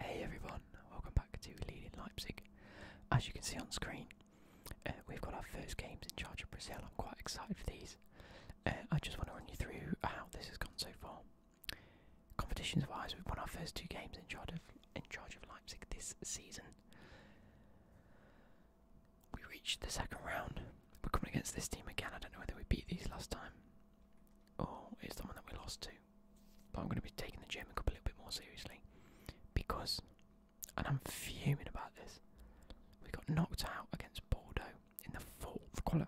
Hey everyone, welcome back to Leading Leipzig. As you can see on screen, uh, we've got our first games in charge of Brazil. I'm quite excited for these. Uh, I just want to run you through how this has gone so far. Competitions wise, we've won our first two games in charge of in charge of Leipzig this season. We reached the second round. We're coming against this team again. I don't know whether we beat these last time or it's the one that we lost to but I'm going to be taking the German Cup a little bit more seriously because, and I'm fuming about this, we got knocked out against Bordeaux in the fourth quali.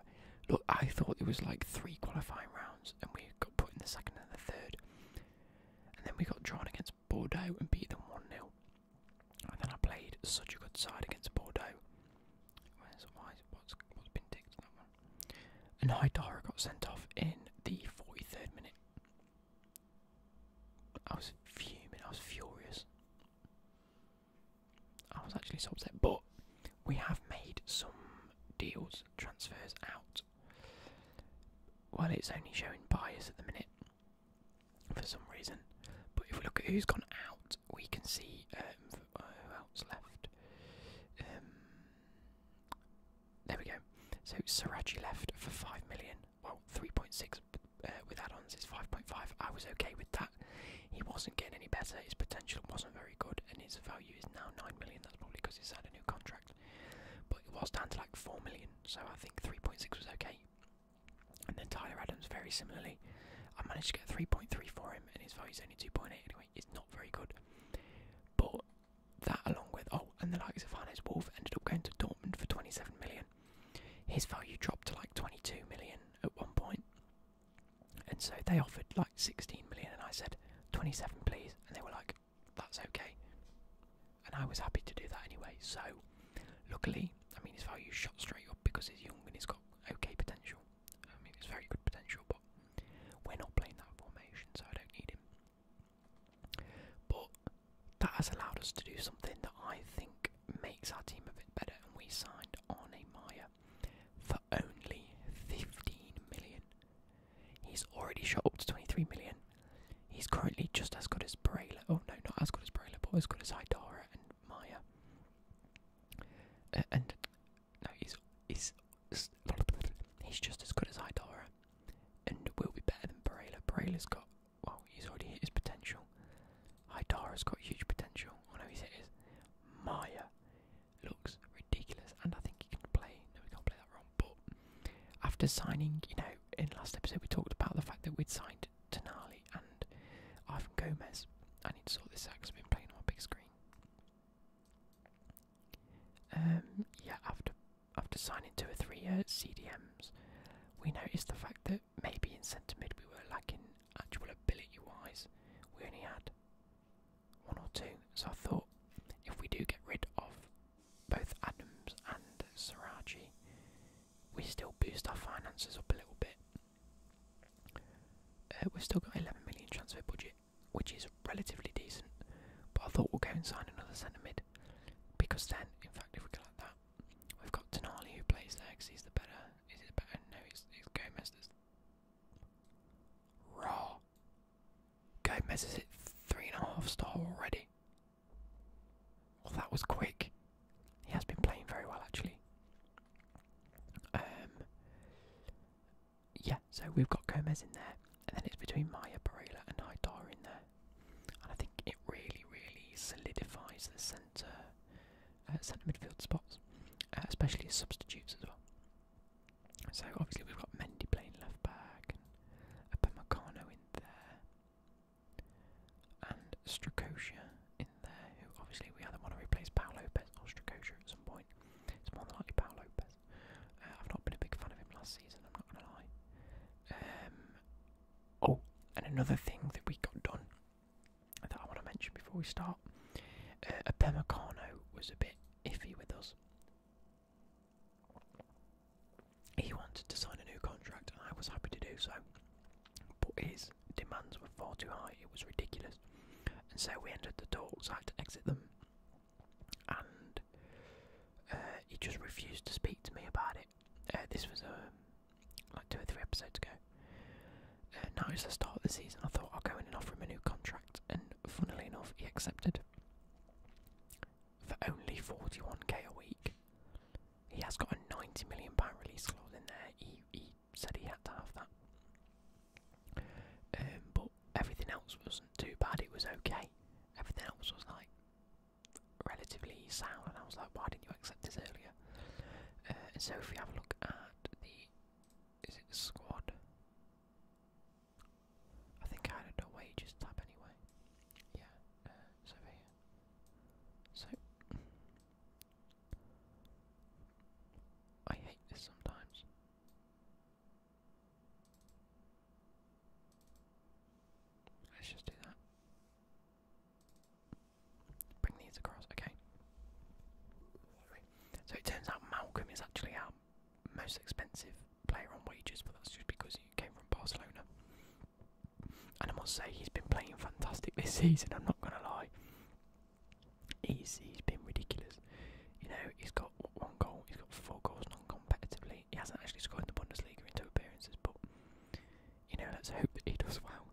Look, I thought it was like three qualifying rounds, and we got put in the second and the third, and then we got drawn against Bordeaux and beat them one 0 And then I played such a good side against Bordeaux. Where's why? What's what's been ticked and Haidara got sent off in the 43rd minute. I was fuming, I was furious. I was actually so upset, but we have made some deals, transfers out. Well, it's only showing buyers at the minute for some reason, but if we look at who's gone out, we can see um, who else left. Um, there we go. So Saraji left for five million. Well, three point six uh, with add-ons is five point five. I was okay with that. He wasn't getting any better. His potential wasn't very good, and his value is now nine million. That's probably because he's had a new contract. But it was down to like four million, so I think three point six was okay. And then Tyler Adams, very similarly, I managed to get three point three for him, and his value is only two point eight. Anyway, it's not very good. But that, along with oh, and the likes of Hannes Wolf ended up going to Dortmund for 27 million. His value dropped to like 22 million at one point, and so they offered like 16 million, and I said 27, please, and they were like, that's okay, and I was happy to do that anyway. So, luckily, I mean, his value shot straight up because he's young and he's got okay potential. I mean, it's very good potential, but we're not playing that formation, so I don't need him. But that has allowed us to do something that I think makes our team a bit better, and we signed Arne Meyer for only 15 million. He's already shot up to 23 million. He's currently just as good as Brayler. Oh no, not as good as Brayler, but as good as Idara and Maya. and no, he's he's he's just as good as Idara, and will be better than Barela. Barela's got well, he's already hit his potential. Idara's got huge potential. I know he's hit his. Maya looks ridiculous, and I think he can play. No, we can't play that wrong. But after signing, you know, in last episode we talked about the fact that we'd signed Tenali and Ivan Gomez. I need to sort this out I've been playing on my big screen. Um, yeah, after after signing two or three uh, CDMs, we noticed the fact that maybe in centre mid we were lacking actual ability wise. We only had one or two, so I thought if we do get rid of both Adams and Saraji, we still boost our finances up a little bit. Uh, we've still got 11 million transfer budget, which is relatively decent. But I thought we'll go and sign another centre mid because then, in fact, if we go that, we've got Denali who plays there because he's the better. Is it better? No, it's, it's Gomez raw. Gomez is at three and a half star already. that was quick. He has been playing very well actually. Um, yeah, so we've got Gomez in there, and then it's between Maya Barela and Haidara in there, and I think it really, really solidifies the centre, uh, centre midfield spots, uh, especially as substitutes as well. So obviously we've got Mendy playing left back, and Upamecano in there, and Strakosha in there, who obviously we either want to replace Paolo Lopez or Strakosha at some point. It's more likely Paul Lopez. Uh, I've not been a big fan of him last season, I'm not gonna lie. Um, oh, and another thing that we got done that I want to mention before we start. Uh, was a bit iffy with us. He wanted to sign a new contract, and I was happy to do so. But his demands were far too high; it was ridiculous, and so we ended the talks. I had to exit them and uh, he just refused to speak to me about it. Uh, this was um, like two or three episodes ago. Uh, now it's the start of the season. I thought I'll go in and offer him a new contract, and funnily enough, he accepted for only forty-one k a week. He has got a ninety million pound release clause in there. He he said he had to have that. Um, but everything else wasn't too bad. It was okay. Everything else was like relatively sound, and I was like, "Why didn't you accept this earlier?" Uh, so if you have a look at the, is it the squad? I think I had a wages tab anyway. Yeah, uh, it's over So I hate this sometimes. Let's just do that. Bring these across, okay. So it turns out Malcolm is actually our most expensive player on wages, but that's just because he came from Barcelona. And I must say, he's been playing fantastic this season, I'm not going to lie. He's he's been ridiculous. You know, he's got one goal, he's got four goals non-competitively. He hasn't actually scored in the Bundesliga in two appearances, but you know, let's hope that he does well.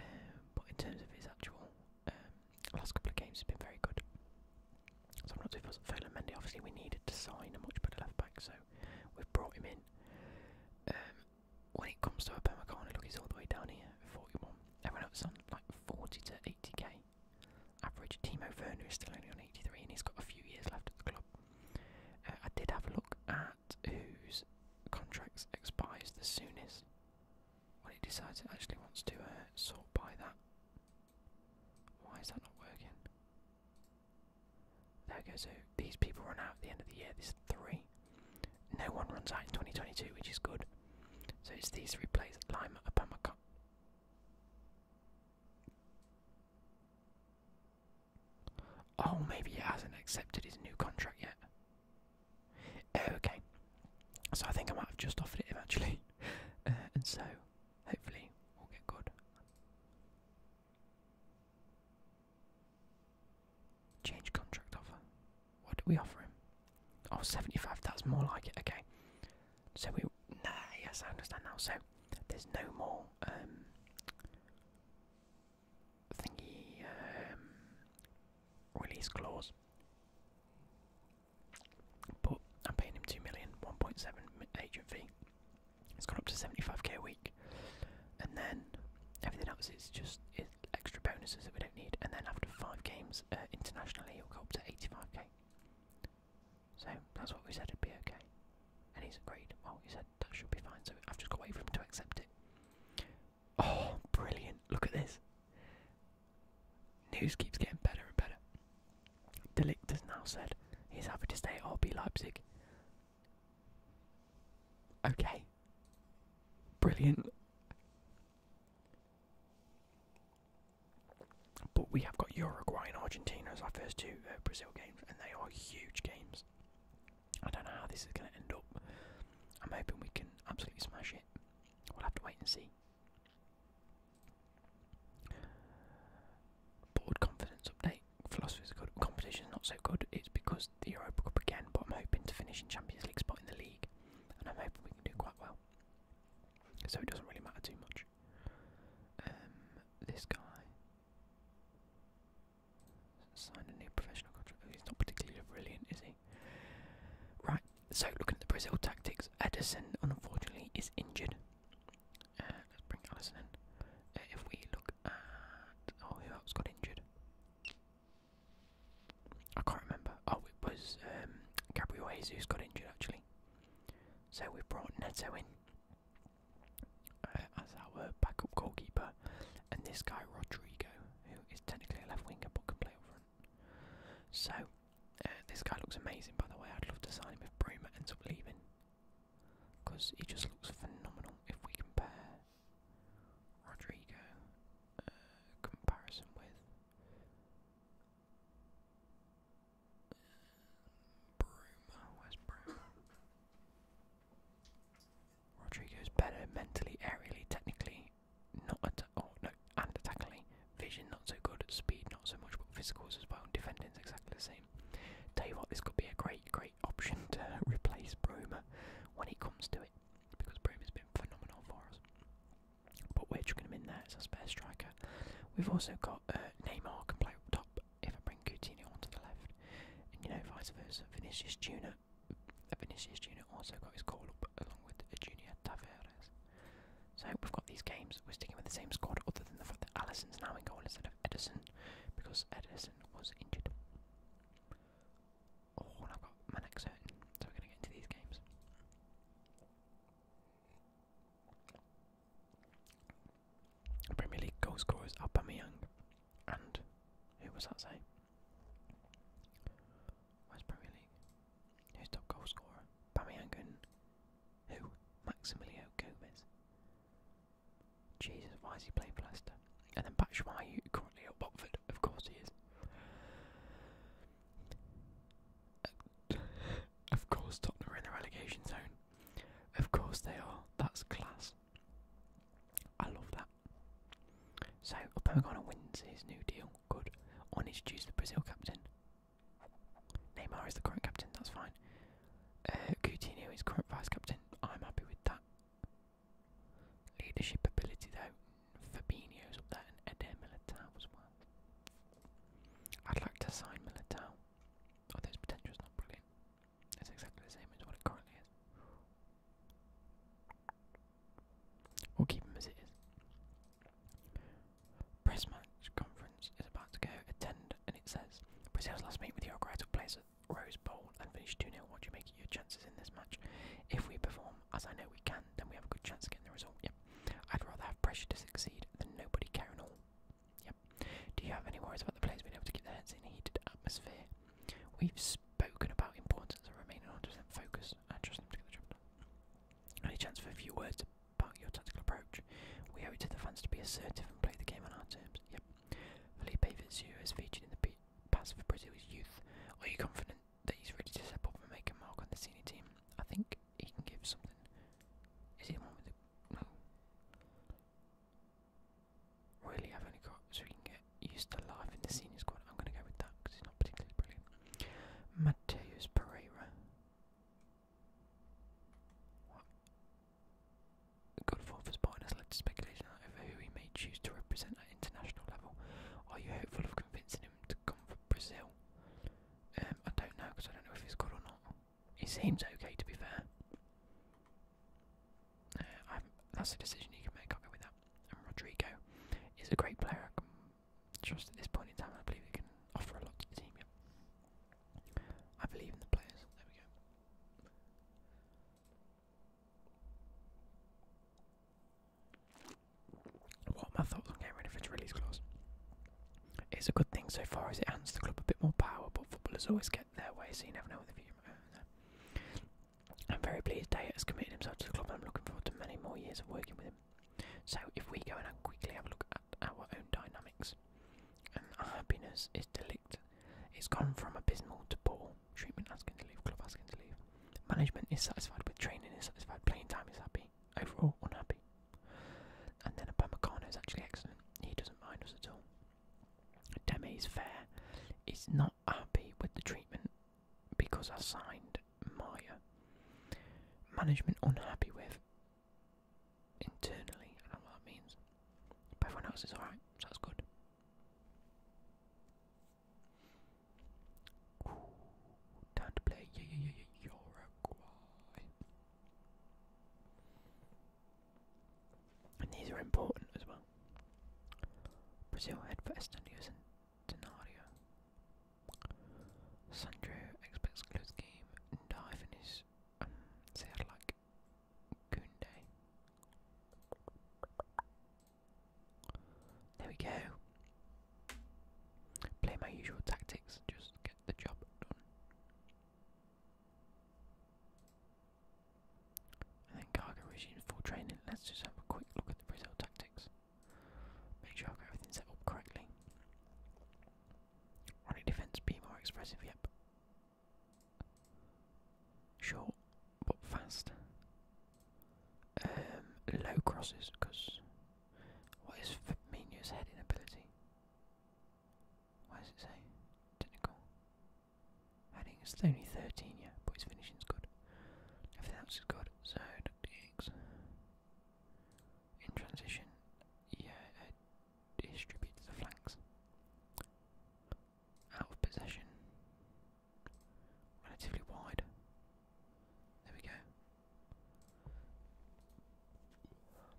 Um, but in terms of his actual um, last couple of games, he's been very good. So I'm not too fussed. Phelan Mendy, obviously, we needed to sign a much better left back, so we've brought him in. Um, when it comes to Upamecano, look, he's all the way down here, 41. Everyone else on like 40 to 80k. Average Timo Werner is still only on 83 and he's got a few years left at the club. Uh, I did have a look at whose contracts expires the soonest when it decides it actually wants to uh, sort by that. Why is that not working? There we go, so these people run out at the end of the year, there's three. No one runs out in 2022, which is good. So it's these three plays, Lime, Upamecano. Oh, maybe he hasn't accepted his new contract yet. Oh, okay, so I think I might have just offered it him actually, uh, and so hopefully we'll get good. Change contract offer. What do we offer him? Oh, 75, more like it, okay. So we, nah, yes, I understand now. So there's no more, um, thingy, um, release clause. But I'm paying him 2 million, 1.7 agent fee. It's gone up to 75k a week. And then everything else is just extra bonuses that we don't need. And then after five games uh, internationally, he up to 85k. So that's what we said it'd be okay. And he's agreed. Well, he said that should be fine, so I've just got away from him to accept it. Oh, brilliant. Look at this. News keeps getting better and better. Delict has now said he's happy to stay at RB Leipzig. Okay. Brilliant. But we have got Uruguay and Argentina as our first two uh, Brazil games, and they are huge games. I don't know how this is going to end up. I'm hoping we can absolutely smash it. We'll have to wait and see. Board confidence update. Philosophy is good. Competition is not so good. It's because the Europa Cup again, but I'm hoping to finish in Champions League spot in the league, and I'm hoping we can do quite well so it doesn't really matter too much. Um, this guy signed a new professional contract. He's not particularly brilliant, is he? Right. So looking at the Brazil tactics, Edison unfortunately is injured. Uh, let's bring Allison uh, if we look at oh, who else got injured? I can't remember. Oh, it was um, Gabriel Jesus got injured actually, so we brought Neto in uh, as our backup goalkeeper, and this guy Rodrigo, who is technically a left winger but can play up front. So uh, this guy looks amazing, by the way. I'd love to sign him if Bruma ends up leaving, because he just looks phenomenal. If we compare Rodrigo uh, comparison with Broom, where's Broom? Rodrigo's better mentally, aerially, technically, not at oh no, and attackingly. Vision not so good, speed not so much, but physicals as well. Defending's exactly the same. Tell you what, this could be a great, great option to replace Brooma when it comes to it, because brooma has been phenomenal for us. But we're chucking him in there as a spare striker. We've also got uh, Neymar can play up top if I bring Coutinho onto the left, and you know vice versa. Vinicius Junior, Vinicius Junior also got his call up along with Junior Tavares. So we've got these games. We're sticking with the same squad, other than the fact that Allison's now in goal instead of Edison, because Edison was injured. Oh, and I've got Manek certain, so we're going to get into these games. Premier League goal scorers Aubameyang and who was that say? Where's Premier League? Who's top goalscorer? scorer? Aubameyang and who? Maximilio Gomez. Jesus, why is he playing for Leicester? And then Batshuayi currently at Watford, of course he is of course, Tottenham are in the relegation zone. Of course, they are. That's class. I love that. So, Upamecano wins his new deal. Good. On introduce the Brazil captain. Neymar is the current captain. That's fine. Uh, Coutinho is current vice captain. I'm happy with that. Leadership ability, though, Fabinho's up there and Eder Militao as well. I'd like to sign Militao, although his potential is not brilliant. It's exactly the same as what it currently is. We'll keep him as it is. Press match conference is about to go. Attend, and it says Brazil's last meet with Uruguay took place at Rose Bowl and finished 2 0. What do you make of your chances in this match? If we perform as I know we can, then we have a good chance of getting the result. Yeah, I'd rather have pressure to succeed than nobody caring at all. Yep. Do you have any worries about the players being able to keep their heads in a heated atmosphere? We've spoken about importance of remaining on 100% focus and trusting them to get the job done. Any chance for a few words about your tactical approach? We owe it to the fans to be assertive and play the game on our terms. Yep. Felipe Vizio is featured in the pass for Brazil's youth. Are you confident that he's ready to step up and make a mark on the senior team. I think he can give something. Is he one with no? Really, I've only got so he can get used to life in the senior squad. I'm going to go with that because he's not particularly brilliant. Mateus Pereira. Good form for Spartan has led to speculation over who he may choose to represent at international level. Are you hopeful of convincing him to Brazil. Um, I don't know because I don't know if he's good or not. He seems okay, to be fair. Uh, that's a decision you can make. I'll go with that. And Rodrigo is a great player. I can trust at this point in time. I believe we can offer a lot to the team. I believe in the players. There we go. What are my thoughts on getting rid of its release clause? It's a good thing so far as it hands the club a bit more power, but footballers always get their way, so you never know what the future I'm very pleased Day has committed himself to the club, and I'm looking forward to many more years of working with him. So, if we go and quickly have a look at our own dynamics, our happiness is delict. It's gone from abysmal to poor. Treatment asking to leave, club asking to leave. Management is satisfied with training, is satisfied, playing time is happy overall unhappy. And then Upamecano is actually excellent. He doesn't mind us at all. Demi is fair. He's not happy with the treatment because I signed Maya. Management unhappy with internally. I don't know what that means. But everyone else is alright, so that's good time to play yeah, yeah, yeah, yeah, And these are important as well. Brazil head for Estandios and Denario. Sandro expects close game and dive in like Kunde. There we go. Play my usual tactics, just get the job done. And then cargo resumes full training. Let's just have a quick look at the Brazil tactics. Make sure I've got everything set up correctly. Running defence, be more expressive, yep. Short, but fast. Um, low crosses, because what is Firmino's heading ability? Why is it say? Technical. Heading It's only 13, yeah, but his is good. Everything else is good. So, in transition, yeah, it distributes the flanks. Out of possession, relatively wide. There we go.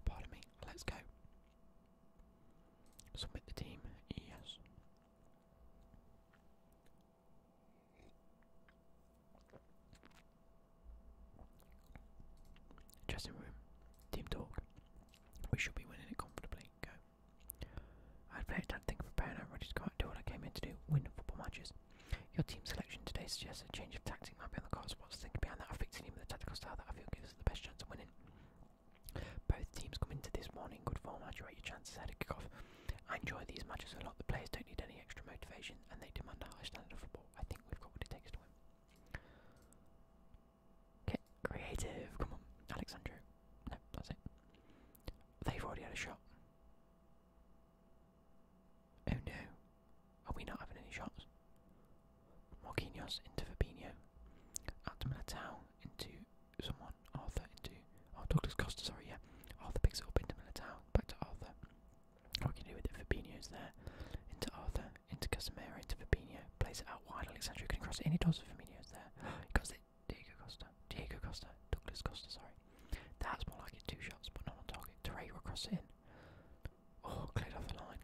Pardon me, let's go. Submit the team, yes. Dressing room, team talk. We should be winning it comfortably. Go. I had played that thing for Brown and Rogers quite do what I came in to do, win football matches. Your team selection today suggests a change of tactic might be on the cards. What's thinking behind that? I've picked a with a tactical style that I feel gives us the best chance of winning. Both teams come into this one in good form. I'd you rate your chances ahead of off I enjoy these matches a lot. The players don't need any extra motivation, and they demand a high standard of football. I think we've got what it takes to win. Okay, creative. Come on, Alexandro. No, that's it. They've already had a shot. Oh no, are we not having any shots? Marquinhos into Fabinho, out to Militao, into someone, Arthur into, oh Douglas Costa, sorry, yeah, Arthur picks it up into Militao, back to Arthur, what can you do with it, Fabinho's there, into Arthur, into Casemiro, into Fabinho, plays it out wide, Alexandro can cross it in, he does, there, he got it, Diego Costa, Diego Costa, Douglas Costa, sorry. That's more like it, two shots, but not on target. Torreira cross it in. Oh, cleared off the line.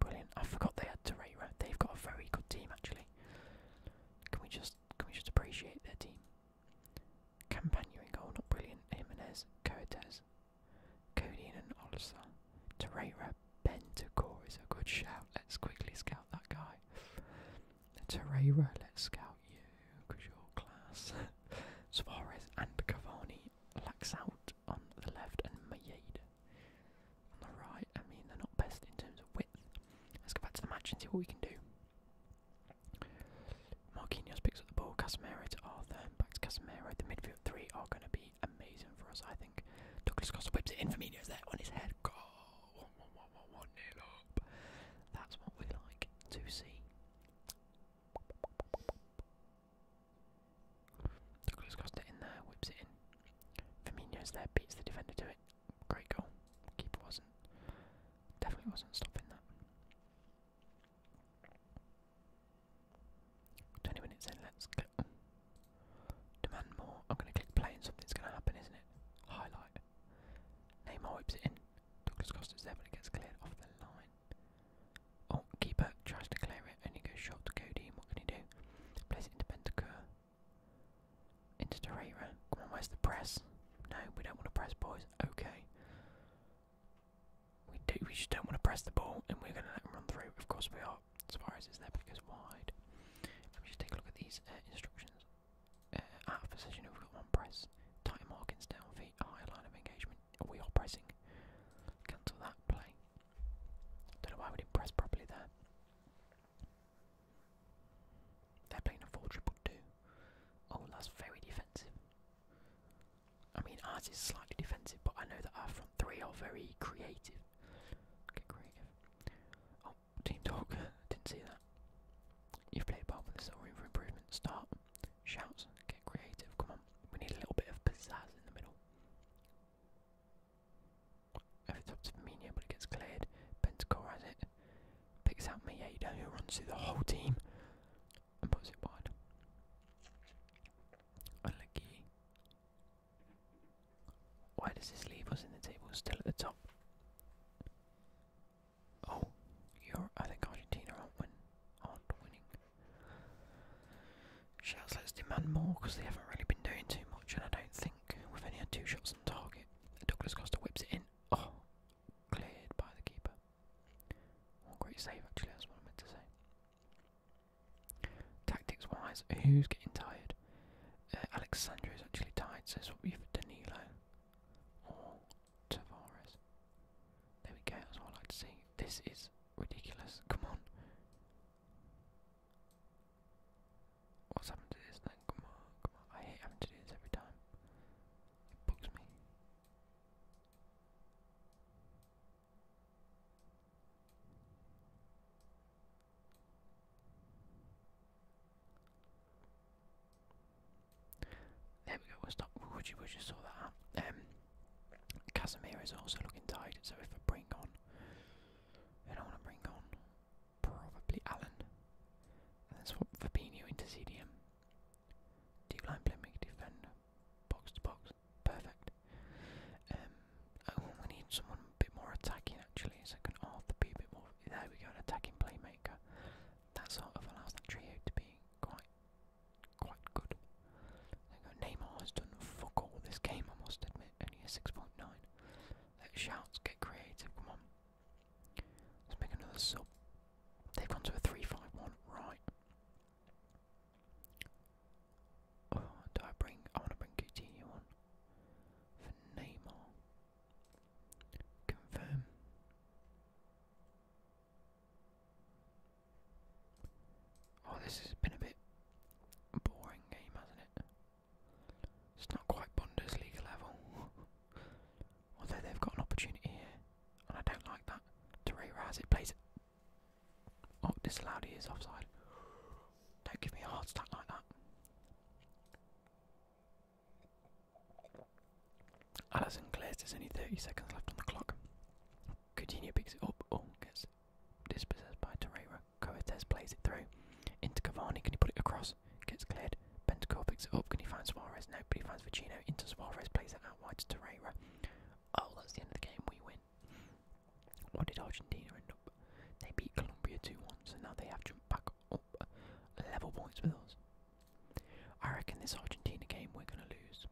Brilliant. I forgot they had Torreira. They've got a very good team actually. Can we just can we just appreciate their team? Campagna in goal, not brilliant. Jimenez, Coates, Cody and Olsa. Torreira, Bentacore is a good shout. Let's quickly scout that guy. Torreira, let's scout you, because you class. Suarez and Cavani lacks out on the left and Mayeda on the right. I mean, they're not best in terms of width. Let's go back to the match and see what we can do. Marquinhos picks up the ball, Casemiro to Arthur, back to Casemiro. The midfield three are going to be amazing for us, I think. Douglas Costa whips it in for Firmino's there on his head. Goal! One, one, one, one, one, nil up. That's what we like to see. Douglas Costa in there, whips it in. Firmino's there, beats the defender to it. Great goal. Keeper wasn't. Definitely wasn't stopping that. 20 minutes in, let's Demand more. I'm going to click play and something's going to happen, isn't it? Highlight. Neymar whips it in. Douglas Costa's there, but it gets cleared off the line. Oh, keeper tries to clear it, and he goes shot to Cody. What can he do? Plays it into Bentancur. Into Torreira. Come on, where's the press? No, we don't want to press, boys. Okay. We do. We just don't want to press the ball, and we're going to let him run through. Of course we are. Suarez is there, but it wide. Let me just take a look at these uh, instructions. Uh, out of position, we've got one press. Tight markings down feet, high line of engagement. We are pressing. Cancel that play. Don't know why we didn't press properly there. They're playing a 4 Oh, that's very defensive. I mean, ours is slightly defensive, but I know that our front three are very creative. Okay, creative. Oh, team talk. Didn't see that. You've played well, but there's room for improvement. Start. Shouts, get creative, come on. We need a little bit of pizzazz in the middle. Over top to Firmino, but it gets cleared. Bentacore has it. Picks out Mieda, who runs through the whole team and wide. Unlucky. Why does this leave us in the table still at the top? Oh, you're, I think Argentina aren't, win, aren't winning. Shouts, let's demand more because they haven't really been doing too much, and I don't think we've only had two shots on target. Douglas Costa whips it in. Oh, cleared by the keeper. Oh, great save, actually, that's what I meant to say. Tactics wise, who's getting tired? Uh, Alexandra is actually tired, so swap you for Danilo. Or Tavares. There we go, that's what I like to see. This is ridiculous. Come on. What's happened to this Come on, come on. I hate having to do this every time. It bugs me. There we go, we'll stop. would you, would you saw that? Um, Casemiro is also looking tired, so if I bring on, I don't want to bring on probably Allen, and then swap Fabinho into CDM. Deep line playmaker, defender, box to box, perfect. Um, oh, we need someone a bit more attacking actually, so I can Arthur be a bit more. There we go, an attacking playmaker that sort of allows that trio to be quite quite good. There go. Neymar has done fuck all this game, I must admit, only a 6.9. Let shouts get creative, come on. Let's make another sub. They've gone to a 3 right. Oh, do I bring, I want to bring Coutinho on for Neymar. Confirm. Oh, this has been a bit boring game, hasn't it? It's not quite Bundesliga level. Although they've got an opportunity here, and I don't like that. Terry Raz, it please. Oh, this he is offside. Don't give me a hard stack like that. Allison clears. There's only 30 seconds left on the clock. Coutinho picks it up. Oh, gets dispossessed by Torreira. Coates plays it through. Into Cavani. Can he put it across? Gets cleared. Bentacore picks it up. Can he find Suarez? No, but he finds Vicino. Into Suarez. Plays it out wide to Torreira. Oh, that's the end of the game. We win. What did Argentina end up? They beat Colombia 2 1, so now they have jumped back level points with us. I reckon this Argentina game we're going to lose.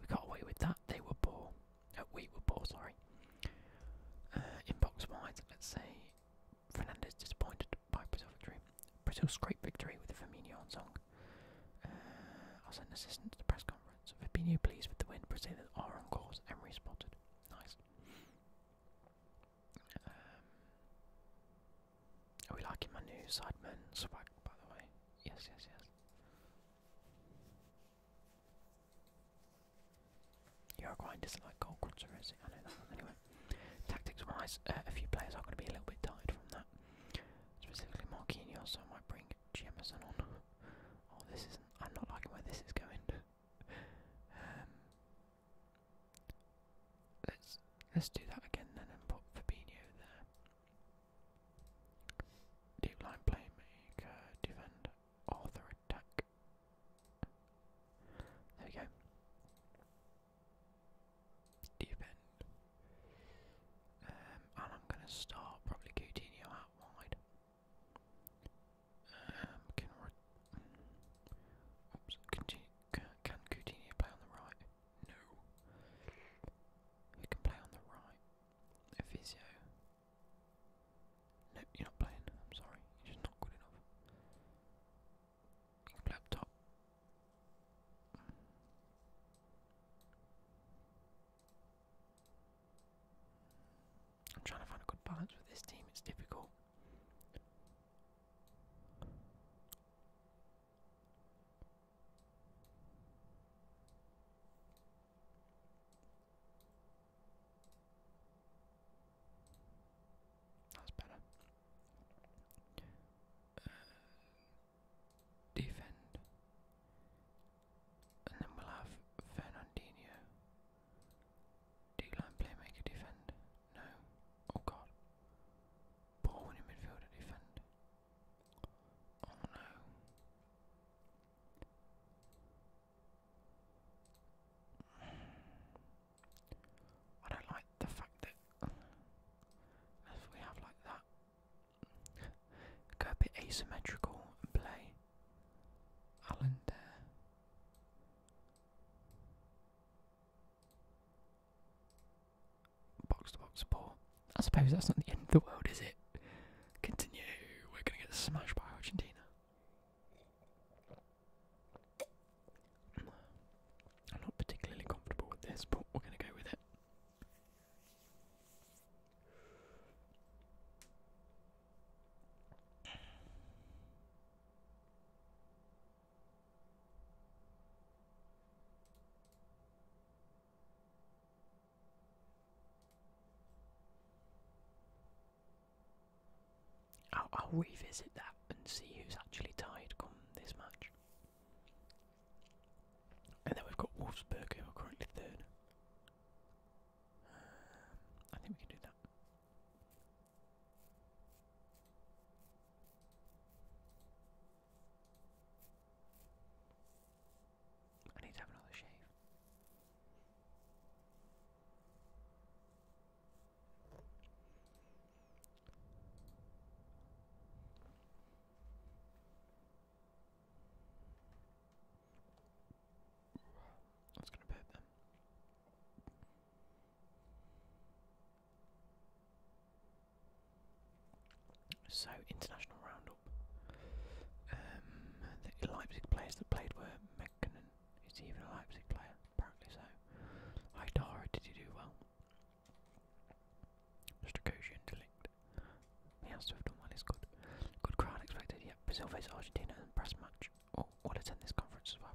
We can't wait with that. They were poor. Uh, we were poor, sorry. Uh, inbox wise, let's say Fernandez disappointed by Brazil victory. Brazil's great victory with the Firmino on song. Uh, I'll send an assistant to the press conference. Fabinho pleased with the win. Brazil are on course. Emery spotted. Nice. Um, are we liking my new Sidemen swag, by the way? Yes, yes, yes. Uruguay doesn't like gold cruncher I know that. Anyway, tactics wise, uh, a few players are going to be a little bit tired from that. Specifically, Marquinhos, so I might bring Jemison on. oh, this isn't. I'm not liking where this is going. um, Let's let's do that again then and put Fabinho there. Deep line playmaker, defend, author attack. There we go. Deep end. Um, and I'm going to start probably Coutinho out wide. Um, can Coutinho play on the right? No. Who can play on the right? Efizio. No, you're not playing. I'm sorry. You're just not good enough. You I'm trying to find a good balance with this team. It's difficult. That's better. Uh, defend, and then we'll have Fernandinho. D line playmaker defend. No. Oh god. Poor winning midfield to defend. Oh no. I don't like the fact that if we have like that, go a bit asymmetrical and play Allen there. Box to box support. I suppose that's not the end of the world, is it? Continue. We're going to get smashed by Argentina. I'm not particularly comfortable with this, but we're going to go with it. I'll, revisit that and see who's actually tied come this match. And then we've got Wolfsburg who currently third. Um, I think we can do that. I need to have another shave. That's gonna hurt them. So, international roundup. Um, the Leipzig players that played were Mekkonen. Is he even a Leipzig player? Apparently so. Haidara, did he do well? Stragosian Delict. He has to have done well, he's good. Good crowd expected, yep. Brazil face Argentina in press match. Oh, we'll attend this conference as well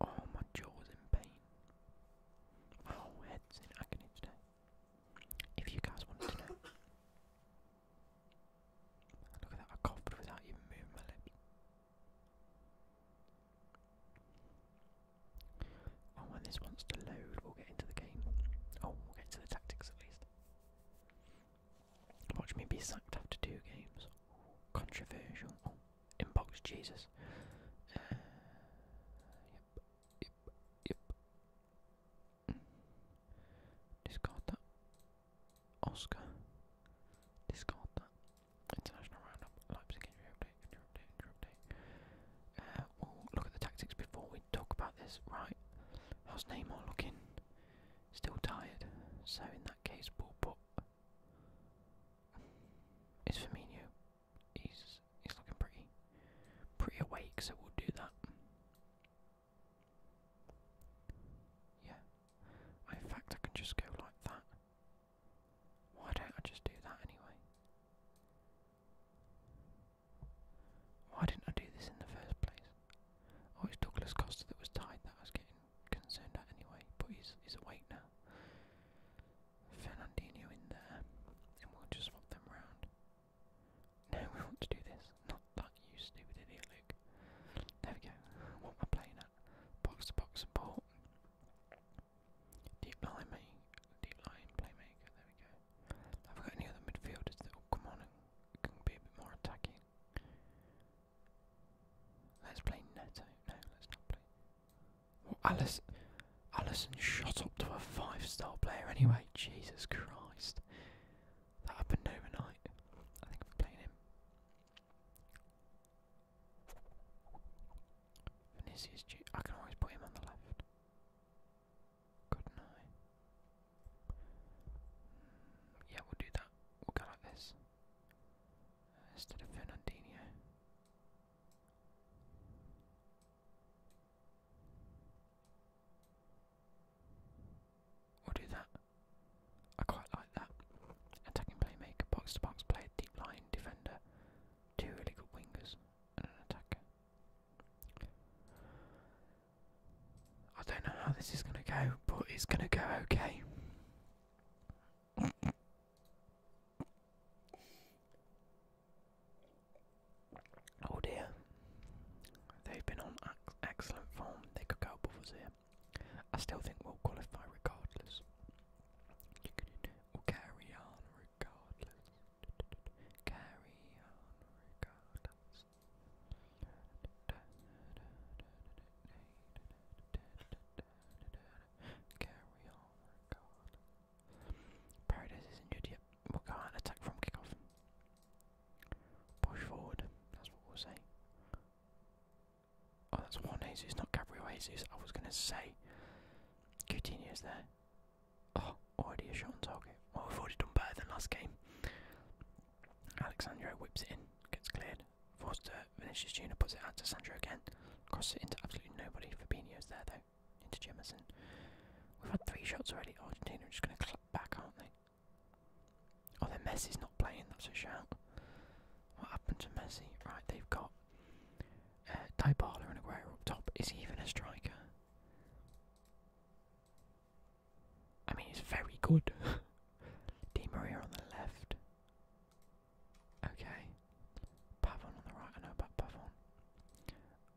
Oh, my jaw is in pain. My head's in agony today. If you guys wanted to know. Look at that, I coughed without even moving my lips. Oh, when this wants to load, we'll get into the game. Oh, we'll get into the tactics at least. Watch me be sacked after two games. Controversial. Inbox Jesus. yep, yep, yep. Discard that. Oscar. Discard that. International roundup. Leipzig injury update. Injury update. Injury update. Uh, we'll look at the tactics before we talk about this. Right. How's Neymar looking? Still tired. So in that case, we'll it's Firmino. He's he's looking pretty pretty awake, so we'll do that. Yeah. In fact, I can just go like that. Why don't I just do that anyway? Why didn't I do this in the first place? Oh, it's Douglas Costa that was tied that was getting concerned at anyway, but he's, he's awake now. Fernandinho in there, and we'll just swap them round. No, we want to do this. Not that you stupid idiot, Luke. There we go. What am I playing at? Box to box support. Deep line main, deep line playmaker. There we go. Have got any other midfielders that oh, come on and can be a bit more attacking? Let's play Neto. No, let's not play. Well, Alice, Allison shot up to a five-star player anyway. Jesus Christ, that happened overnight. I think I'm playing him. Vinicius, G I can always put him on the left. Couldn't hmm, yeah, we'll do that. We'll go like this instead of Fernandinho. We'll do that. I quite like that. Attacking playmaker, box to box player, deep line defender, two really good wingers, and an attacker. I don't know how this is going to go, but it's going to go okay. Oh dear. They've been on excellent form. They could go above us here. I still think we'll qualify regardless. We'll carry on regardless. Carry on regardless. Carry on, oh Paradise is injured, yep. We'll go on, attack from kickoff. Push forward, that's what we'll say. Oh, that's Juan It's not Gabriel oh, Jesus. I was going to say Coutinho's there. Oh, already a shot on target. Well, we've already done better than last game. Alexandro whips it in, gets cleared. Forced to finishes Junior, puts it out to Sandro again. Crosses it into absolutely nobody. Fabinho's there though, into Jemison. We've had three shots already. Argentina are just going to clap back, aren't they? Oh, then Messi's not playing. That's a shout. What happened to Messi? Right, they've got uh, Dybala and Aguero up top. Is he even a striker? I mean, he's very good. Di Maria on the left. Okay. Pavon on the right, I know about Pavon.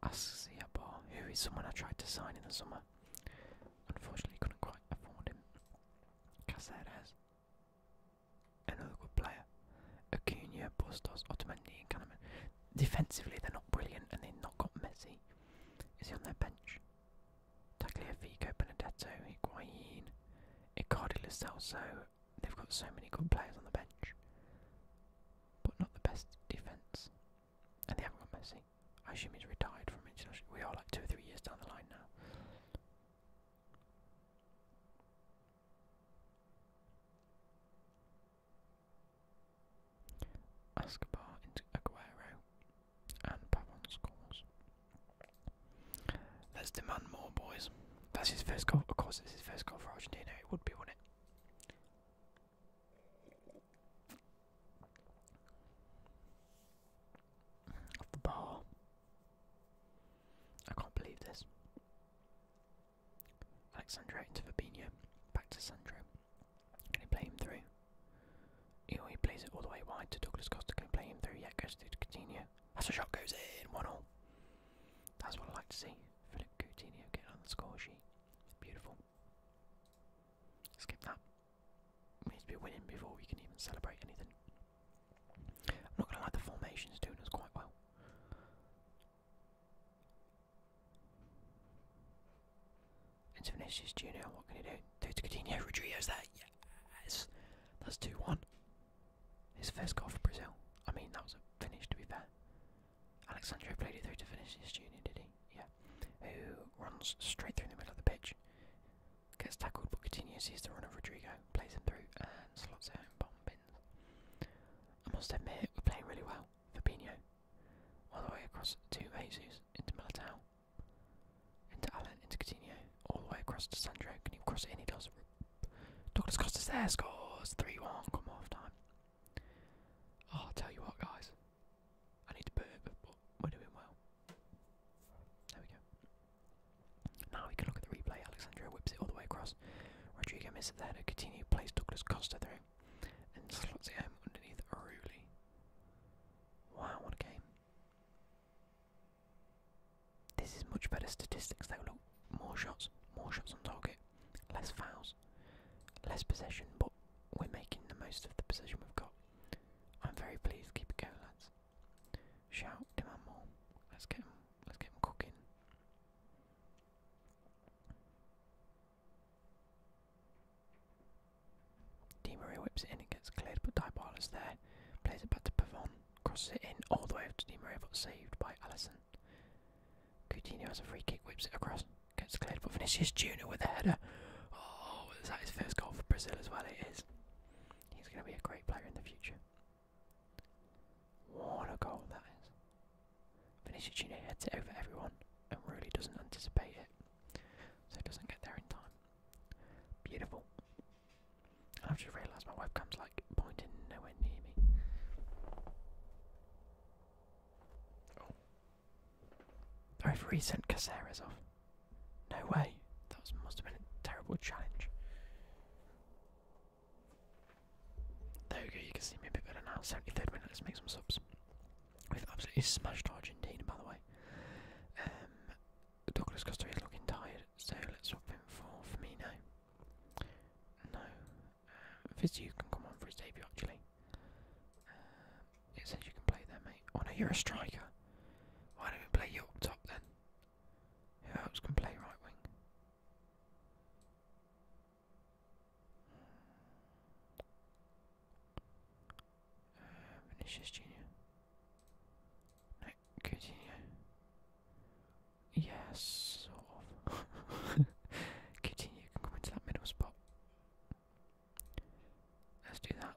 Asks bar, who is someone I tried to sign in the summer. Unfortunately couldn't quite afford him. Caceres. Another good player. Acuna, Bustos, Otamendi and Kahneman. Defensively they're not brilliant and they've not got Messi. Is he on their bench? Tagliafico, Benedetto, Higuain, Icardi Lo Celso, they've got so many good players on the bench, but not the best defence. And they haven't got Messi. I assume he's retired from international. We are like two or three years down the line now. Escobar into Aguero and Pavon scores. Let's demand more, boys. That's his first goal. Of course, it's his first goal for Argentina. It would be, wouldn't it? Off the bar. I can't believe this. Alexandro into Fabinho. Back to Sandro. Can he play him through? You know, he plays it all the way wide to Douglas Costa. Can he play him through? Yeah, goes through to Coutinho. That's a shot goes in, 1 0. That's what I like to see. Philip Coutinho getting on the score Beautiful. Skip that. We need to be winning before we can even celebrate anything. I'm not going to lie, the formation's doing us quite well. It's Vinicius Junior, what can he do? Do to Coutinho, Rodrigo's there, yes! That's 2 1. His first goal for Brazil. I mean, that was a finish, to be fair. Alexandro played it through to finish his junior, did he? Yeah. Who runs straight through the middle of the pitch. Gets tackled, but continues, He's the run of Rodrigo, plays him through, and slots it in bomb pins. I must admit, we're playing really well. Fabinho. All the way across two bases into Militao into Allen, into Coutinho, all the way across to Sandro. Can he cross it in? He does. Douglas Costa there, scores 3 1. Come off time. Oh, I'll tell you what, guys. I need to burp, but we're doing well. There we go. Now we can look at the replay. Alexandro whips it all the way across. Rodrigo misses it there to Coutinho, plays Douglas Costa through, and slots it in underneath Aruli. Wow, what a game. This is much better statistics though, look, more shots, more shots on target, less fouls, less possession, but we're making the most of the possession we've got. I'm very pleased, keep it going lads. Shout, demand more, let's get them, let's get them cooking. Di Maria whips it in, it gets cleared, but Dybala's there, plays it back to Pavon crosses it in all the way up to Di Maria, but saved by Allison. Coutinho has a free kick, whips it across, gets cleared, but Vinicius Junior with a header. Oh, is that his first goal for Brazil as well? It is. He's going to be a great player in the future. What a goal that is. Vinicius Junior heads it over everyone and really doesn't anticipate it, so it doesn't get there in time. Beautiful. I've just realised my comes like pointing nowhere near me. Oh. I've sent Caceres off. No way. That must have been a terrible challenge. There we go, you can see me a bit better now. 73rd minute, let's make some subs. We've absolutely smashed Argentina, by the way. Um, the Douglas Costa is looking tired, so let's swap him for Firmino. No. Um, uh, Fizu can come on for his debut, actually. Uh, it says you can play there, mate. Oh no, you're a striker. Why don't we play you up top then? Who else can play right wing? Um, Vinicius Junior continue. Yes, continue, come into that middle spot. Let's do that.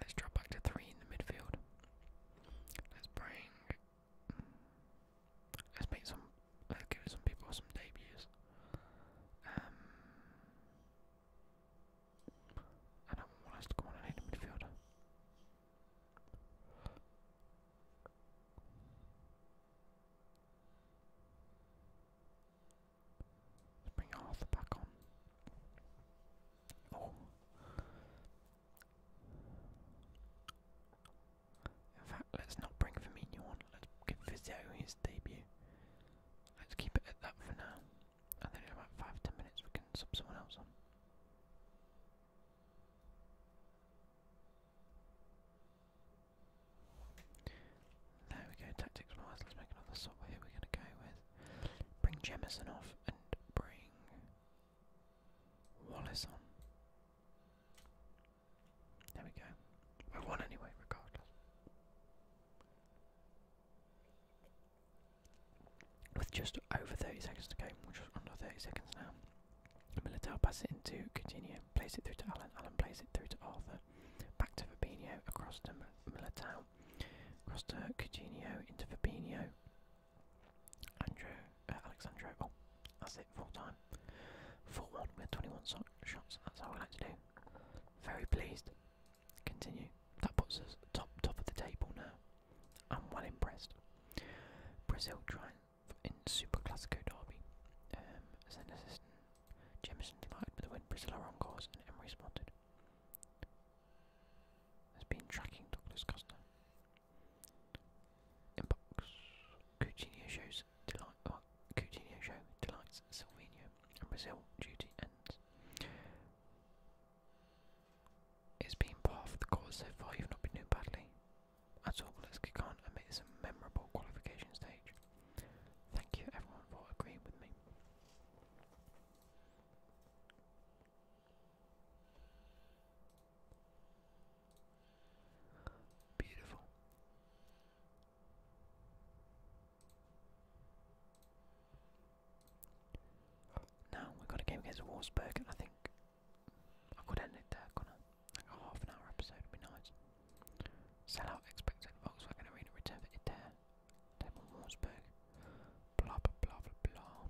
Let's drop back to three in the midfield. Let's bring. Let's make some. Let's give some people some debuts. Um, I don't want us to go on and hit midfielder. bring Arthur back on. Oh. In fact, let's not bring Firmino on. Let's give Vizio his debut. Let's keep it at that for now and then in about five ten minutes we can sub someone else on. There we go, tactics wise, let's make another sub. Here we're gonna go with bring Jemison off and bring Wallace on. There we go. We won anyway, regardless. With just over 30 seconds to go, which was under 30 seconds now, Militao passes it into Coutinho, plays it through to Alan. Allen plays it through to Arthur, back to Fabinho, across to Militao, across to Cuginio, into Fabinho, Andrew, uh, oh, that's it, full time, 4-1 we with 21 shots, that's how we like to do, very pleased, continue, that puts us top, top of the table now. I'm well impressed. Brazil triumph in Superclásico Derby. Um, as an assistant, Jemison delighted with the win. Brazil are on course, and Emery spotted. Has been tracking Douglas Costa. In Coutinho shows delight. Well, uh, Coutinho show delights Silvino, and Brazil duty ends. It's been part of the course so far, you've not been doing badly at all. Let's kick on and make this a memorable qualification stage. Thank you everyone for agreeing with me. Beautiful. Now we've got a game against Wolfsburg, and I think I could end it there, couldn't a half an hour episode would be nice. Sell out expected Volkswagen Arena return for Adair, Devon Wolfsburg, blah blah blah blah.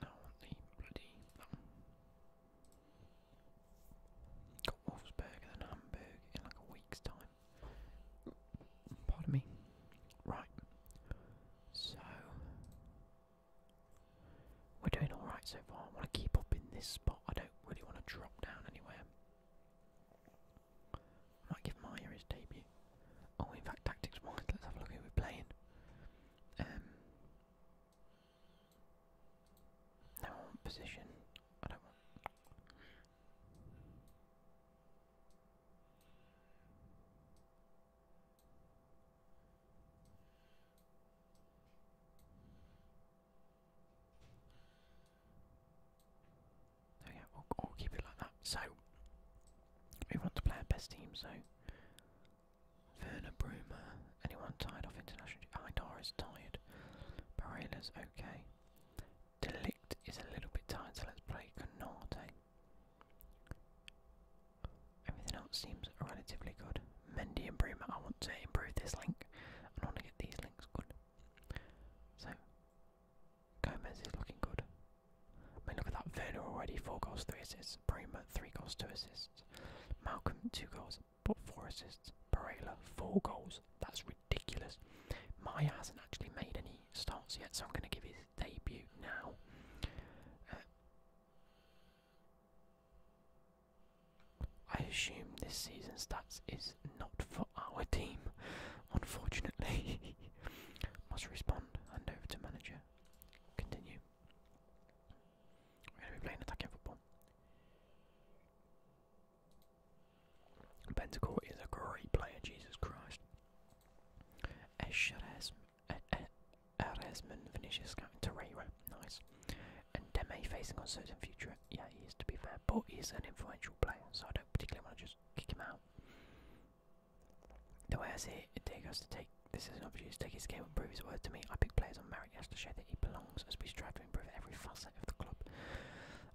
Now bloody got Wolfsburg and Hamburg in like a week's time. Pardon me. Right. So we're doing alright so far. I want to keep up in this spot. I don't really want to drop down anywhere. might give Maya his debut. Oh, in fact, tactics wise, let's have a look who we're playing. Um, no position. I don't want. There we go. keep it like that. So we want to play our best team. So Verna Bruma. Anyone tired off international? Idar ah, is tired. is okay. Delict is a little bit tired, so let's play Canate. Everything else seems relatively good. Mendy and Bruma, I want to improve this link. I want to get these links good. So, Gomez is looking good. I mean, look at that. Werner already, 4 goals, 3 assists. Bremer, 3 goals, 2 assists. Malcolm, 2 goals, but 4 assists. Barela, 4 goals. That's ridiculous. Maya hasn't actually made any starts yet, so I'm going to give his debut now. Uh, I assume this season's stats is not for our team, unfortunately. Must respond. Hand over to manager. Continue. We're going to be playing attacking football. Pentacle is a great player, Jesus Christ. Eresman finishes scouting Torreira, nice. And Deme facing uncertain future, yeah he's to be fair, but he's an influential player, so I don't particularly want to just kick him out. The way I see it, it takes us to take this as an opportunity to take his game and prove his word to me. I pick players on merit just to show that he belongs as we strive to improve every facet of the club.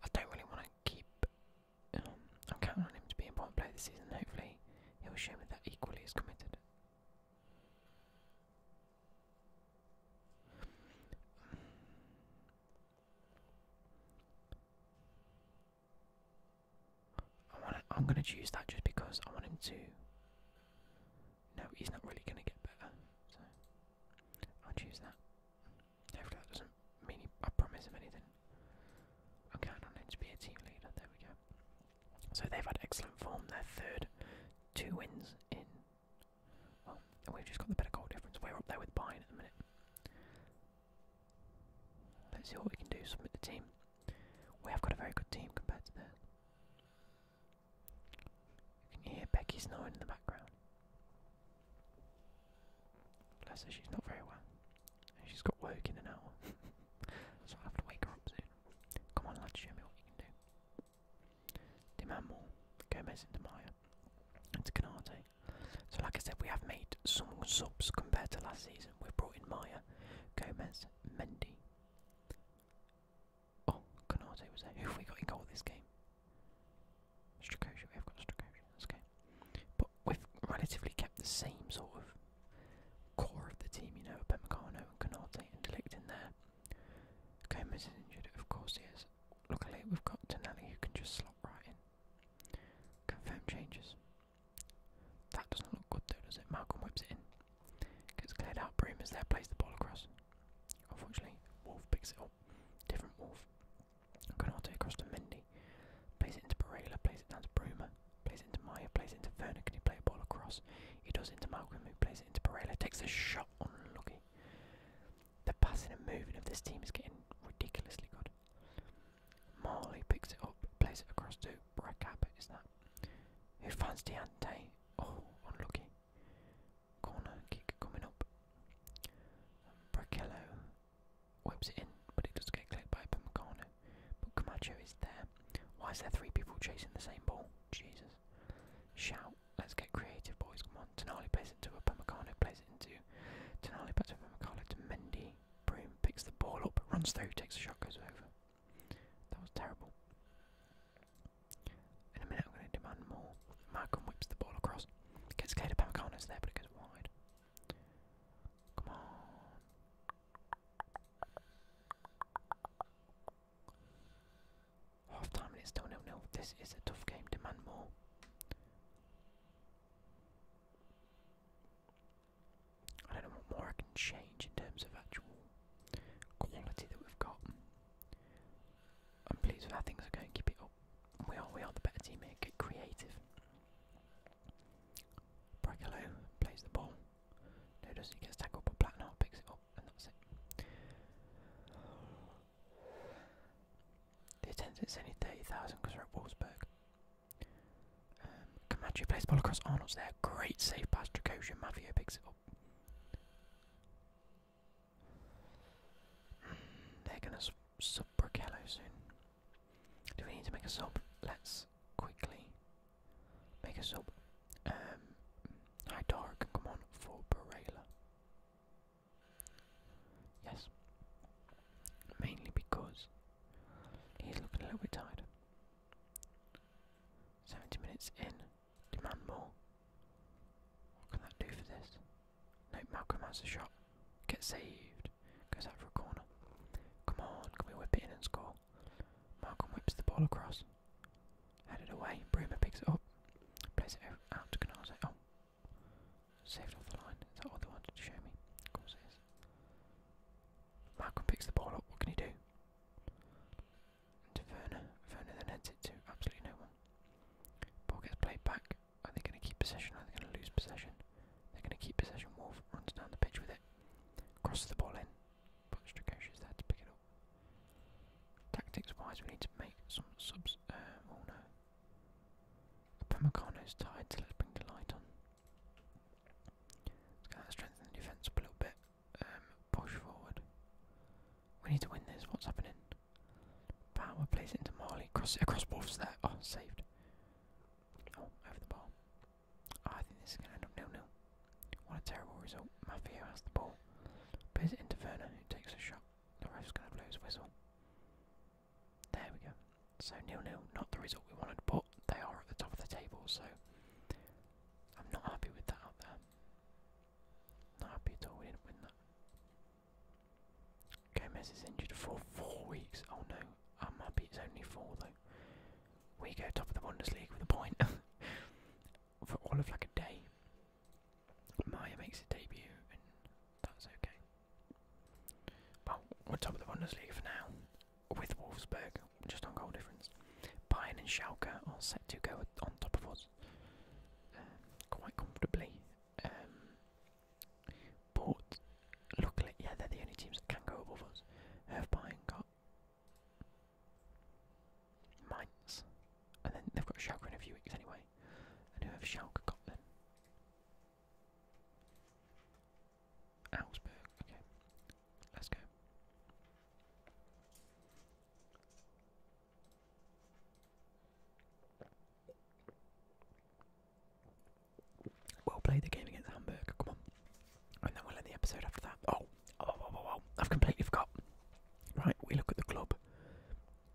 I don't really want to keep. Um, I'm counting on him to be an important player this season. hopefully, he'll show me that equally is committed. I am going to choose that just because I want him to. No, he's not really going to get better, so I'll choose that. Hopefully that doesn't mean I promise him anything. I'm counting on to be a team leader. There we go. So they've had excellent form. They're third, two wins in. Well, we've just got the better goal difference. We're up there with Bayern at the minute. Let's see what we can do. Submit the team. We have got a very good team compared to theirs. You can hear Becky snowing in the background. Bless her, she's not very well. she's got work in an hour. so i have to wake her up soon. Come on, lad, show me what you can do. Demand Gomez into Maya. Into Canate. So, like I said, we have made some subs compared to last season. We've brought in Maya, Gomez, Mendy, Oh, Konate was there. Who have we got in goal this game? Strakosha, we have got Strakosha, that's okay. But we've relatively kept the same sort of core of the team, you know, Upamecano and Konate and Delict in there. Gomez is injured, of course he is. Luckily we've got Tonelli who can just slot right in. Confirm changes. That doesn't look good though, does it? Malcolm whips it in. Gets cleared out. Broom is there, plays the ball across. Unfortunately, Wolf picks it up. Different Wolf. Can Canate across to Mendy. Plays it into Barela, plays it down to Bruma, plays it into Maya, plays it into Verna. Can he play a ball across? He does into Malcolm, who plays it into Barela. Takes a shot, on Lucky. The passing and moving of this team is getting ridiculously good. Marley picks it up, plays it across too. Brackab, is that? Who fans Diante? Oh, unlucky. Corner kick coming up. Bracello whips it in, but it does get clipped by Pumacano. But Camacho is there. Why is there three people chasing the same ball? Jesus. Shout. Let's get creative, boys. Come on. Tonali plays it to a Pumacano, plays it into Tonali, back to Pumacano, to Mendy. Broom picks the ball up, runs through, takes a shot, goes over. That was terrible. In a minute, I'm going to demand more. Malcolm whips the ball across. Gets cleared of Pamacano's there, but it goes wide. Come on. Half time and it's still nil nil. This is a tough game. Demand more. I don't know what more I can change in terms of actual quality that we've got. I'm pleased with how things are going. Keep it up. We are we are the better team here. Get creative. Bracolo plays the ball. No, doesn't. He gets tackled, but Plattenhardt picks it up, and that's it. The attendance is only 30,000 because we're at Wolfsburg. Um, Camacho plays ball across Arnold's there. Great save by to Koshin. Mafio picks it up. Hmm, they're going to sub Brochello soon. Do we need to make a sub? Let's quickly make a sub. Um, Hydara come on for Barela. Yes. Mainly because he's looking a little bit tired. Seventy minutes in. Demand more. What can that do for this? No, Malcolm has a shot. Gets saved. Goes out for a corner. Come on, can we whip in and score? Malcolm whips the ball across. Headed away. Bruma picks it up. Plays it out to Canase. Oh. Saved off the line. Is that what they wanted to show me? Of course it is. Malcolm picks the ball up. What can he do? And to Werner. Werner then heads it to absolutely no one. Ball gets played back. Are they going to keep possession? Are they going to lose possession? They're going to keep possession. Wolf runs down the pitch with it. Crosses the ball in. But Strakosh is there to pick it up. Tactics wise, we need to make some subs. Um, oh no. tired, so let's bring the Let's kind of strengthen the defence up a little bit. Um, push forward. We need to win this. What's happening? Power plays it into Marley. Cross it across Wolves there. Oh, saved. Oh, over the ball. Oh, I think this is going to end up nil nil. What a terrible result. Mafia has the ball. Plays it into Werner, who takes a shot. The ref's going to blow his whistle. There we go. So nil nil. Not the result we wanted, but they are at the top of the table, so I'm not happy with that Not happy at all, we didn't win that. Gomez is injured for four weeks. Oh no, I'm happy it's only four though. We go top of the Bundesliga with a point for all of like a day. Maya makes a debut, and that's okay. But we're top of the Bundesliga for now, with Wolfsburg, just on goal difference. Bayern and Schalke are set to go on top of us um, quite comfortably. Um, but luckily, yeah, they're the only teams that can go above us. Have Bayern got Mainz, and then they've got Schalke in a few weeks anyway. And who have Schalke got then? Augsburg, okay. Let's go. Well played the game against Hamburg, come on. And then we'll end the episode after that. Oh, oh, oh, oh, oh. I've completely forgot. Right, we look at the club.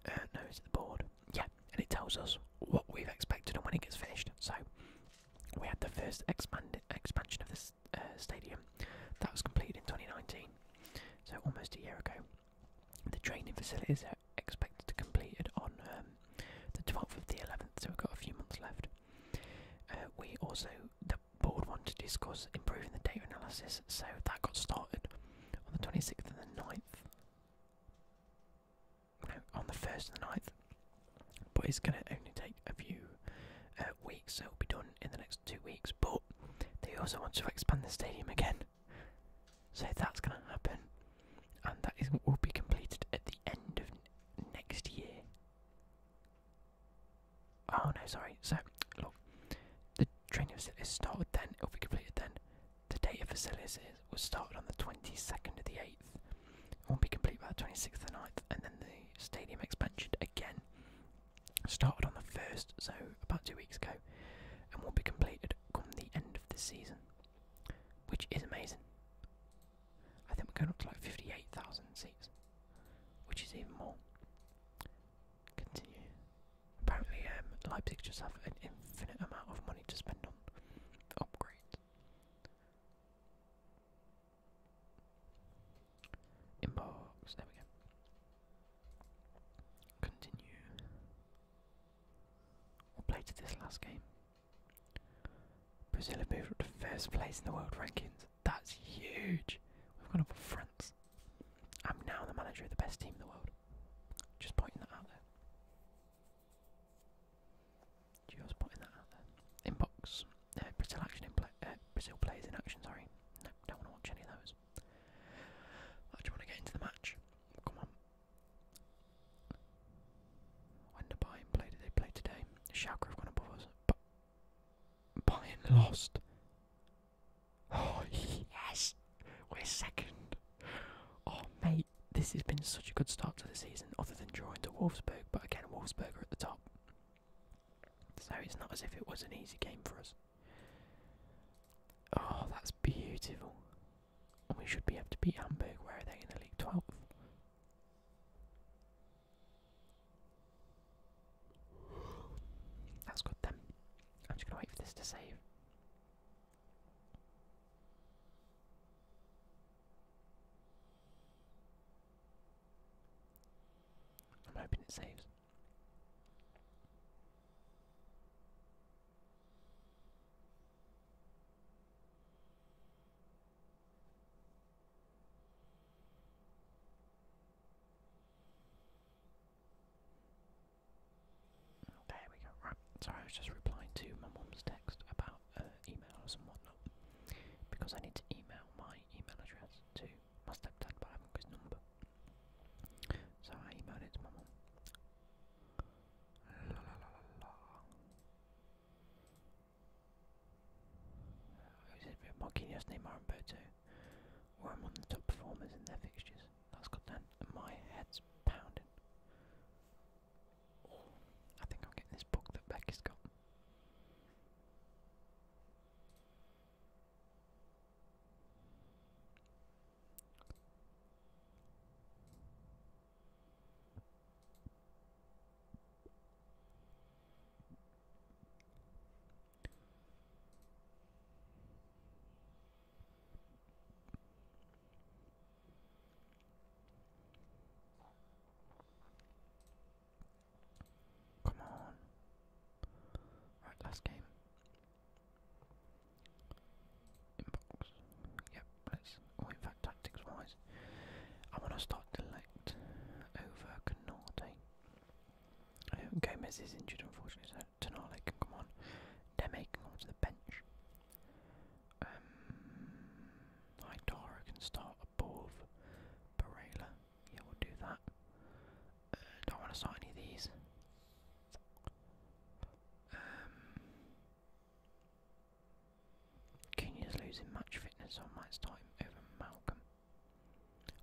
Uh, no, it's the board. Yeah, and it tells us what we've expected and when it gets finished. So, we had the first expansion of this uh, stadium that was completed in 2019, so almost a year ago. The training facilities are expected to be completed on um, the 12th of the 11th, so we've got a few months left. Uh, we also, the board wanted to discuss improving the data analysis, so that got started on the 26th and the 9th. No, on the 1st and the 9th but it's going to only take a few uh, weeks, so it'll be done in the next two weeks. But they also want to expand the stadium again, so that's going to happen, and that will be completed at the end of next year. Oh no, sorry. So look, the training facility started then. It'll be completed then. The data facility was started on the twenty second of the eighth will be complete by the 26th of the 9th, and then the stadium expansion again started on the 1st, so about two weeks ago, and will be completed come the end of the season, which is amazing. I think we're going up to like 58,000 seats, which is even more. Continue. Apparently, um, Leipzig just have an infinite amount of money to spend on upgrades. Inbox, there we go. Continue. we'll play to this last game? Brazil have moved up to first place in the world rankings. That's huge. We've gone up with France. I'm now the manager of the best team in the world. Just pointing that out there. Just putting that out there. Inbox. Uh, Brazil action in uh, Brazil players in action. Sorry. don't want to watch any of those. I just want to get into the match. Come on. When did Bayern play? Did they play today? Schalke have gone above us. But Bayern lost. Oh yes, we're second. Oh, mate, this has been such a good start to the season, other than drawing to Wolfsburg. But again, Wolfsburg at the top. So it's not as if it was an easy game for us. Oh, that's beautiful. we should be able to beat Hamburg. Where are they in the league? 12th. That's good then. I'm just going to wait for this to save. I'm hoping it saves. There we go. Right. Sorry, I was just replying to my mum's text about uh, emails and whatnot because I need to email my email address to my stepdad, but number. So I emailed it to mum. La la la la la. Who's it? Marquinhos, Where I'm on the top performers in their fixtures. That's got down. My head's pounding. I think I'm getting this book that Becky's got. Come on. Alright, last game. Inbox. Yep, let's. Oh, in fact, tactics wise, I want to start Delect over Canate. Um, Gomez is injured, unfortunately, so Tonale can come on. Deme can come to the bench. Um, Hydara can start above Barela. Yeah, we'll do that. Uh, don't want to start any of these. Um, Kenya's losing match fitness, so I might over Malcolm.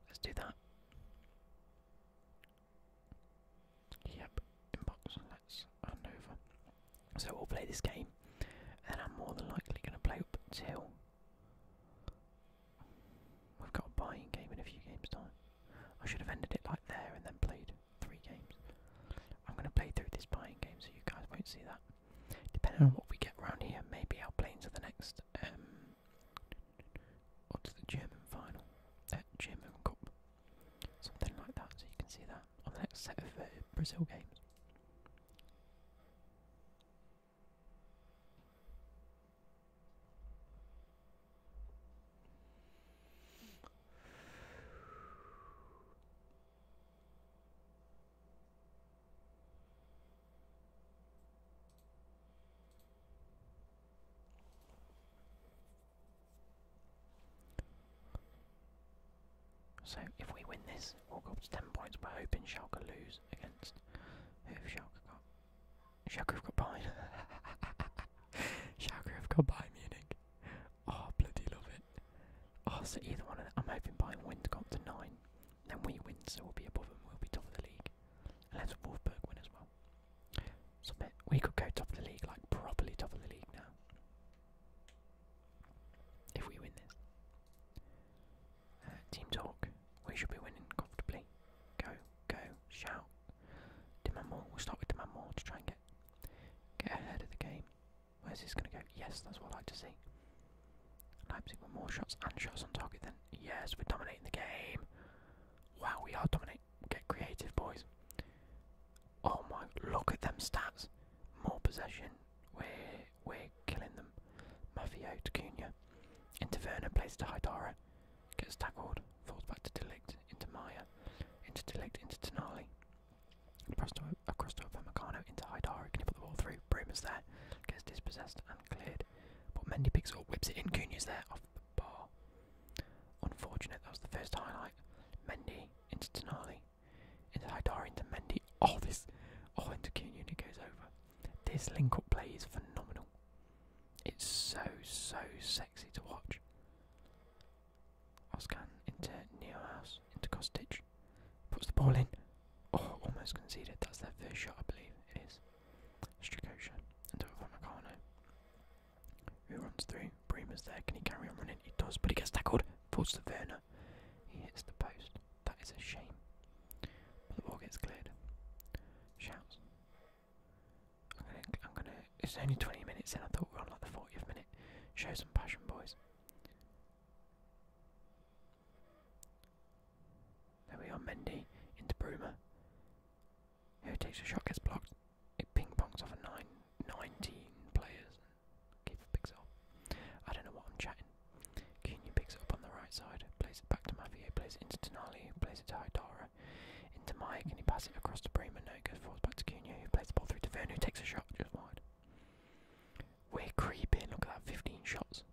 Let's do that. Yep, inbox, let's hand over. So we'll play this game, and I'm more than likely going to play up till we've got a buying game in a few games time. I should have ended it like there and then played three games. I'm going to play through this buying game so you guys won't see that. Depending on hmm. what we get round here, maybe I'll play into the next. Um, what's the German final? that uh, German Cup. Something like that, so you can see that of the next set of uh, Brazil games. So if we win this, we'll go up to 10 points. We're hoping Schalke lose against. Who have Schalke got? Schalke have got Bayern. Schalke have got Bayern Munich. Oh, bloody love it. Oh, so either one of them. I'm hoping Bayern win to go up to 9. Then we win, so we'll be above them. We'll be top of the league. Unless Wolfsburg win as well. Submit. We could go top of the league, like properly top of the league now. If we win this team talk. We should be winning comfortably. Go, go, shout. Demand We'll start with demand to try and get get ahead of the game. Where's this going to go? Yes, that's what I like to see. Leipzig with more shots and shots on target. Then yes, we're dominating the game. Wow, we are dominating. Get creative, boys. Oh my! Look at them stats. More possession. we we're killing them. Mafio to Cunha. Into Werner, plays to Haidara. Gets tackled, falls back to Delict, into Maya. Into Delict, into Tonali. Across across to Upamecano, into Haidara. Can he put the ball through? Broom there. Gets dispossessed and cleared. But Mendy picks it up, whips it in. Cunha's there, off the bar. Unfortunate, that was the first highlight. Mendy into Tonali into Haidar, into Mendy. Oh, this. Oh, into King Unit goes over. This link up play is phenomenal. It's so, so sexy to watch. Oskan into Neo House, into Kostic. Puts the ball in. Oh, almost conceded. That's their first shot, I believe. It is. Strikosha into Upamecano. Who runs through? Bremer's there. Can he carry on running? He does, but he gets tackled. Falls to Verna. He hits the post. That is a shame. the wall gets cleared. Shouts. I'm gonna, I'm gonna. It's only 20 minutes and I thought we were on like the 40th minute. Show some passion, boys. There we are, Mendy into Bruma. Who takes a shot, gets blocked. It ping pongs off a nine, 19 players, Keep a pixel. I don't know what I'm chatting. Cunha picks it up on the right side, plays it back to Mavier, plays it into Denali, plays it to Haidara, into Mike, and he passes it across to Bremer. No, it goes forwards back to Cunha, who plays the ball through to Vern, takes a shot just wide. We're creeping, look at that, 15 shots.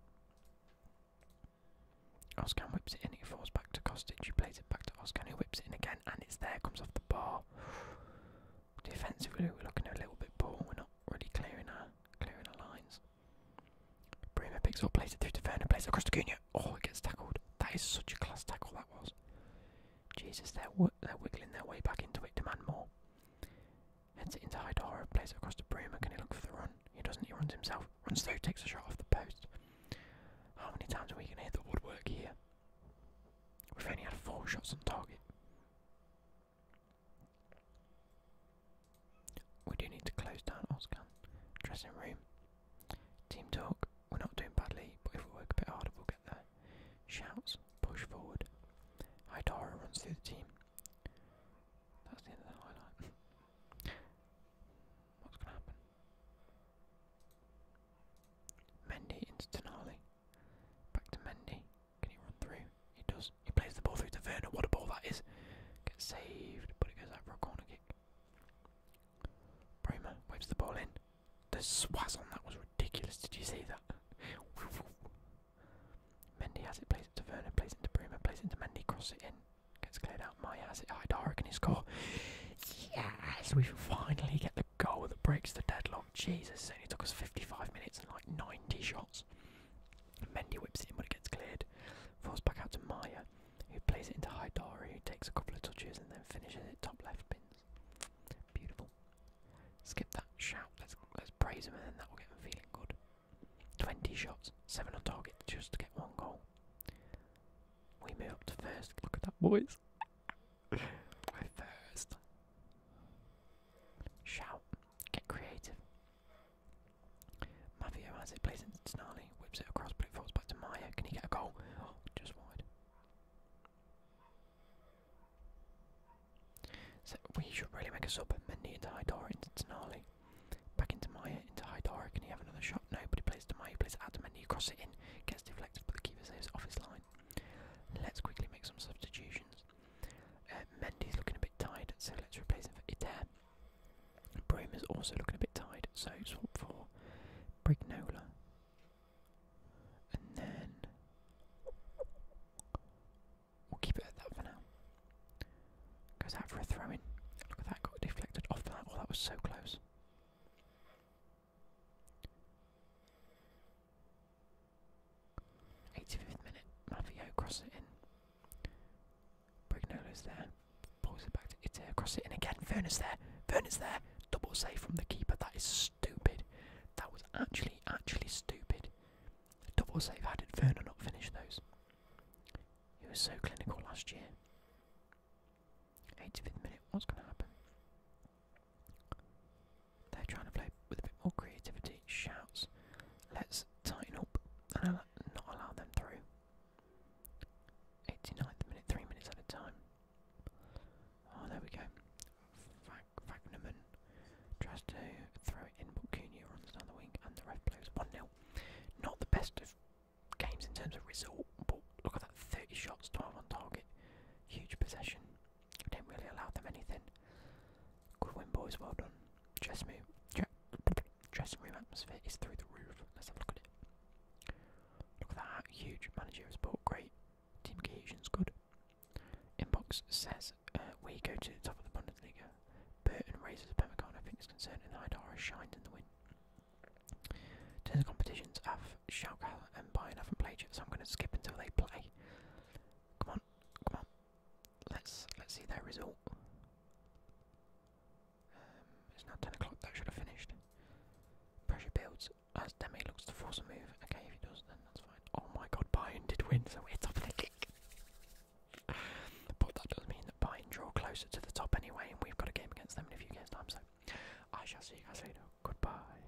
Oscan whips it in, it falls back to Kostic, who plays it back to Oscan, He whips it in again, and it's there, comes off the bar. Defensively, we're looking a little bit poor. We're not really clearing our clearing our lines. Bremer picks up, plays it through to Werner, plays it across to Cunha. Oh, it gets tackled. That is such a class tackle that was. Jesus, they're they're wiggling their way back into it. Demand more. Heads it into Hydara, plays it across to Bremer. Can he look for the run? He doesn't. He runs himself. Runs through, takes a shot off the post. How many times are we going to hit the woodwork here? We've only had four shots on target. We do need to close down Oscan. Dressing room. Team talk. We're not doing badly, but if we work a bit harder, we'll get there. Shouts. Push forward. Hydara runs through the team. That's the end of the highlight. What's going to happen? Mendy into Denali. Back to Mendy. Can he run through? He does. He plays the ball through to Verna. What a ball that is. Gets saved, but it goes out for a corner kick. Bremer waves the ball in. The swaz on that was ridiculous. Did you see that? Mendy has it, plays it to Verna. plays it to Bremer, plays it to Mendy, crosses it in. Gets cleared out. Maya has it. Haidara, and he score? Yes! We finally get the goal that breaks the deadlock. Jesus, it only took us 55 minutes and like 90 shots. Mendy whips it in, but it gets cleared. Falls back out to Maya, who plays it into Haidari, who takes a couple of touches and then finishes it top left pins. Beautiful. Skip that shout. Let's let's praise him, and then that will get him feeling good. 20 shots, seven on target, just to get one goal. We move up to first. Look at that, boys. first. Shout. Get creative. Mavio has it, plays it to Snarly, whips it across, but it falls back to Maya. Can he get a goal? Oh, just wide. So we should really make a sub. Mendy into Haidara, into Tenali. Back into Maya, into Haidara. Can he have another shot? No, but he plays to Maya, he plays it out to Mendy, crosses it in, gets deflected, but the keeper saves off his line. Let's quickly make some substitutions. Um, Mendy's looking a bit tired, so let's replace him for Iter. Broom is also looking a bit tired, so swap for Brignola. And then we'll keep it at that for now. Goes out for a throw in. Look at that, got deflected off that. Oh, that was so close. 85th minute, Malvio crosses it in. Brignolo's there, pulls it back to Itair, crosses it in again. Furnace there, Furnace there. Double save from the keeper. That is stupid. That was actually, actually stupid. Double save. How did Werner not finish those? He was so clinical last year. 85th minute. What's going to happen? They're trying to play with a bit more creativity. Shouts, let's tighten up and not allow them through. 89th minute, three minutes at a time. Oh, there we go. Fagnuman tries to throw it in, but Cunha runs down the wing and the ref blows 1 0. Not the best of games in terms of result, but look at that 30 shots, 12 on target. Huge possession. We didn't really allow them anything. Good win, boys. Well done. Dressing room, dressing room atmosphere is through the roof. Let's have a look at it. Look at that. Huge managerial support. Great. Team is good. Inbox says uh, we go to the top of the Bundesliga. Burton raises a pemmican. I think it's concerned, and Haidara shined in the win. Turns competitions. I've Schalke and Bayern haven't played yet, so I'm going to skip until they play. Come on, Come on, let's let's see their result. Um, it's now ten o'clock. That should have finished. Pressure builds as Demi looks to force a move. Okay, if he does, then that's fine. Oh my God, Bayern did win, so it's off the kick. but that does not mean that Bayern draw closer to the top anyway, and we've got a game against them in a few games' time. So I shall see you guys later. Goodbye.